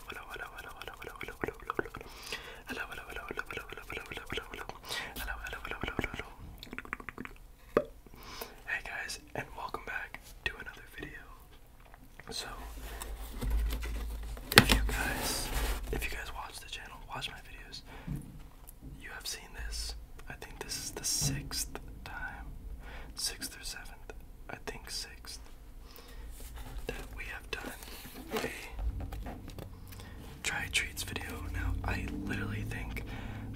Hey guys, and welcome back to another video. So, if you guys, if you guys watch the channel, watch my videos, you have seen this. I think this is the sixth time, sixth or seventh. I think sixth that we have done a try treats video. Now, I literally think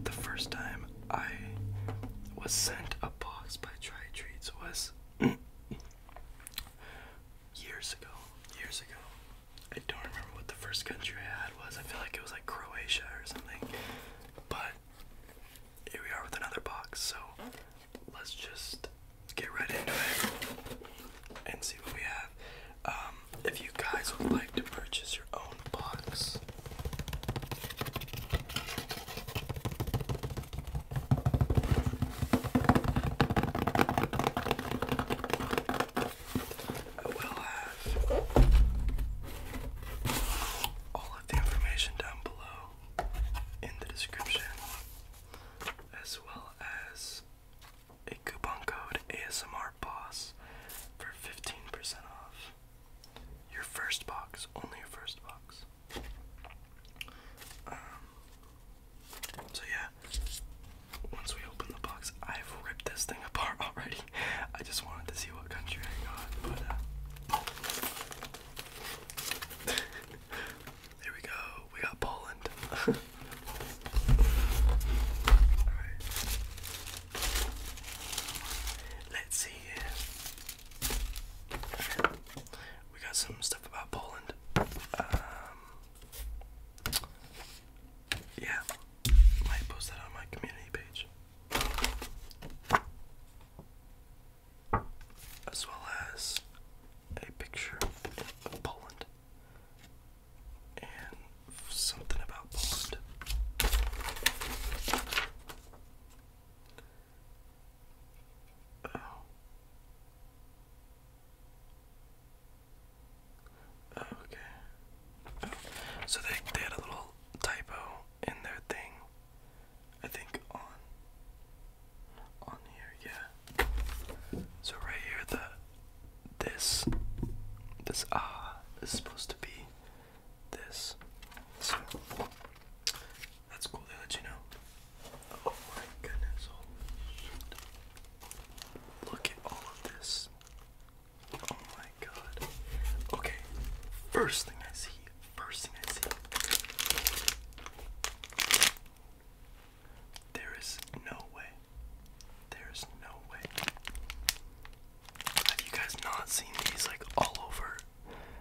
the first time I was sent a box by Try Treats was years ago. Years ago. I don't remember what the first country I had was. I feel like it was like Croatia or something. But here we are with another box. So let's just get right into it and see what we have. Um, if you guys would like to purchase your own box, I will have all of the information down below in the description as well as a coupon code ASMR Boss for 15% off your first box, only your first box. Um, so yeah, once we open the box, I've ripped this thing apart already. I just wanted to see what country I got, but uh, there we go. We got Poland. All right. Let's see We got some stuff about Poland. Um, yeah, might post that on my community page as well as a picture of Poland and something about Poland. Oh. oh okay. Oh. So they, they had a little typo in their thing. I think on on here, yeah. So right here the this this ah is supposed to be this. So that's cool, they let you know. Oh my goodness, oh Look at all of this. Oh my god. Okay, first thing I see, first thing I see there is no way. There is no way. Have you guys not seen these like all over?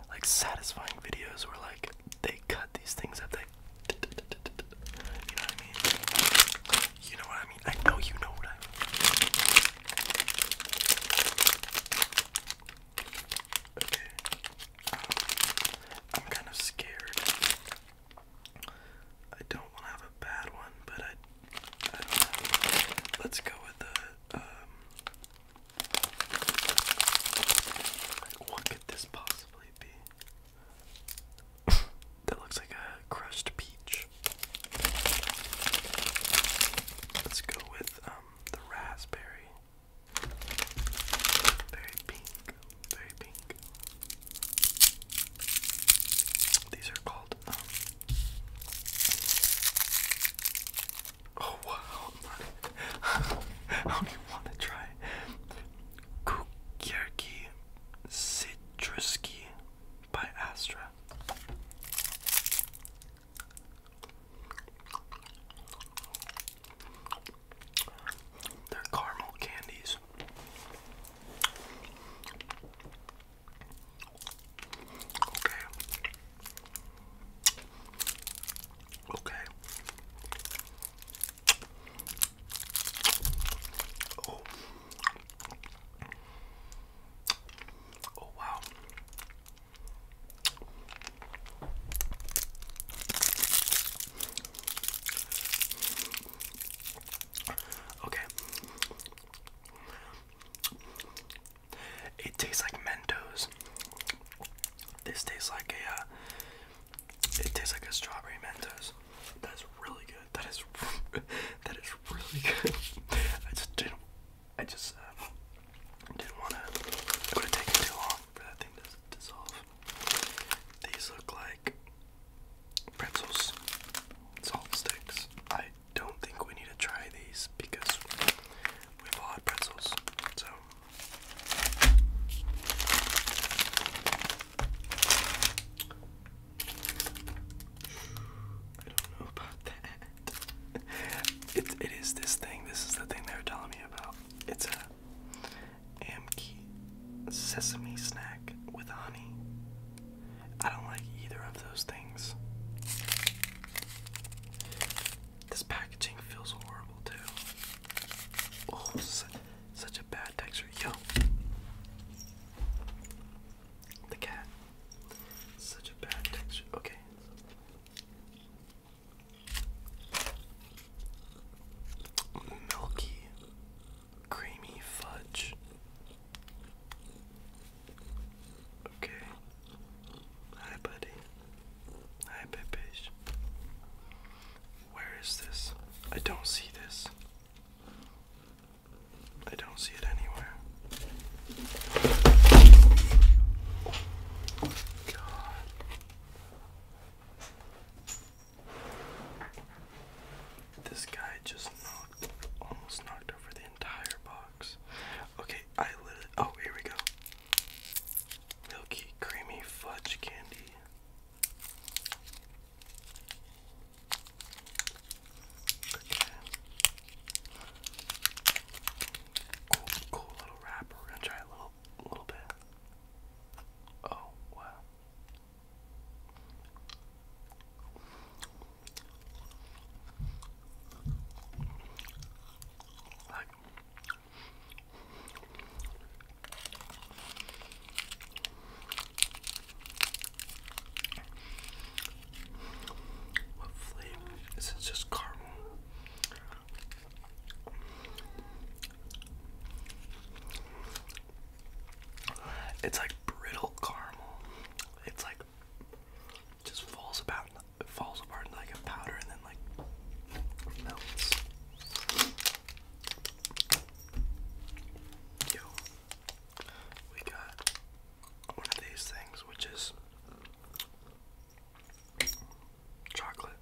Like satisfying videos where like they cut these things up. They, you know what I mean? You know what I mean? I know you know what I mean. Okay. I'm kind of scared. I don't want to have a bad one, but I, Let's go with the. Um, what could this possibly be? that looks like a crushed peach. Let's go with um, the raspberry. Very pink, very pink. These are called, um, oh wow, how do you want to try? Kukierki Citruski by Astra. They're caramel candies. Okay. Okay. Oh. Oh wow. Okay. It tastes like Mentos. This tastes like a. Uh, it tastes like a strawberry Mentos. That's really good. That is. that is really good. I just didn't. I just uh, didn't want to. It would have taken too long for that thing to dissolve. These look like pretzels, salt sticks. I don't think we need to try these because we've all had pretzels. So I don't know about that. It it is this thing. This is the thing they are telling me about. It's a Amki sesame snack with honey. I don't like either of those things. This packaging feels horrible too. Oh, such, a bad texture. Yo! The cat. Such a bad texture. Okay milky, creamy fudge. Okay. Hi, buddy. Hi, Pepesh. Where is this? I don't see this. I don't see it anywhere. God. This guy just knocked, almost knocked over the entire box. Okay, I literally. Oh, here we go. Milky creamy fudge candy. Okay. Cool, cool little wrapper. gonna try a little, little bit. Oh, wow. what flavor? Is it just caramel? It's like brittle caramel. It's like just falls about falls apart into like a powder and then like melts. we got one of these things which is chocolate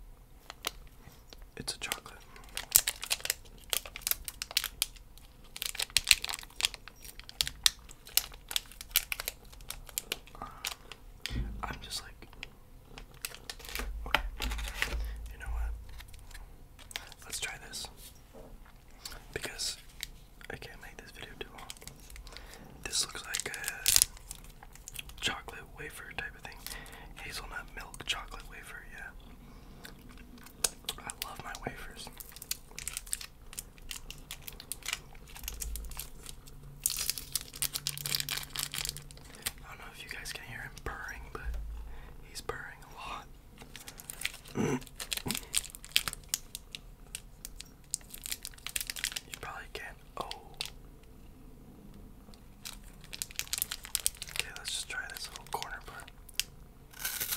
it's a chocolate. Um, I'm just like, okay, you know what? Let's try this because I can't make this video too long. This looks like a chocolate wafer type of thing. Hazelnut milk chocolate wafer, yeah. I love my wafers. I don't know if you guys can hear him purring, but he's purring a lot. You probably can't. Oh. Okay, let's just try this little corner part. Okay.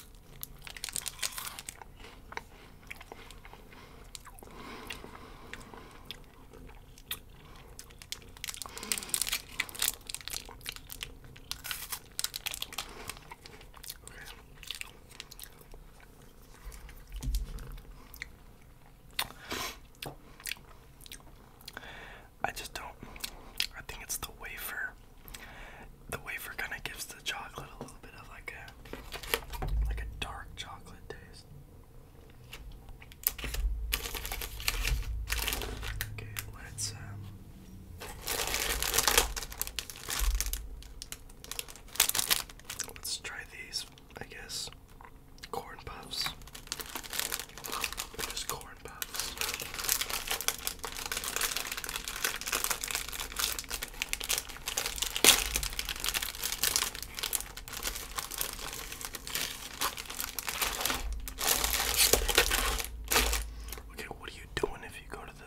I just don't. I think it's the wafer. The wafer kind of gives the chocolate a little bit of like a like a dark chocolate taste. Okay, let's um, let's try these. I guess corn puffs. Just corn puffs. Okay, what are you doing if you go to the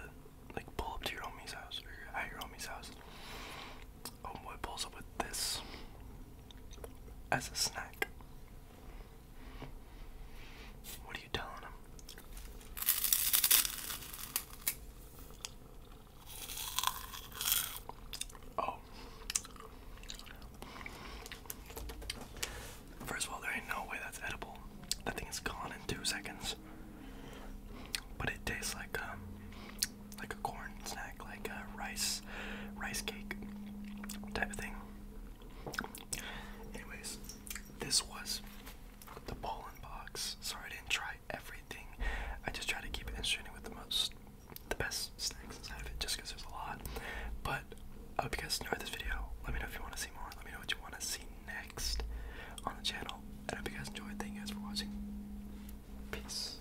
like pull up to your homie's house or at your homie's house? Homeboy oh, pulls up with this as a snack. What are you telling him? Oh. First of all, there ain't no way that's edible. That thing is gone in two seconds. But it tastes like um, like a corn snack, like a rice, rice cake type of thing. Anyways, this was the Poland box. Sorry I didn't try everything. I just try to keep it interesting with the most, the best snacks inside of it, just because there's a lot. But I hope you guys enjoyed this video. Let me know if you want to see more. Let me know what you want to see next on the channel. And I hope you guys enjoyed. Thank you guys for watching. Peace.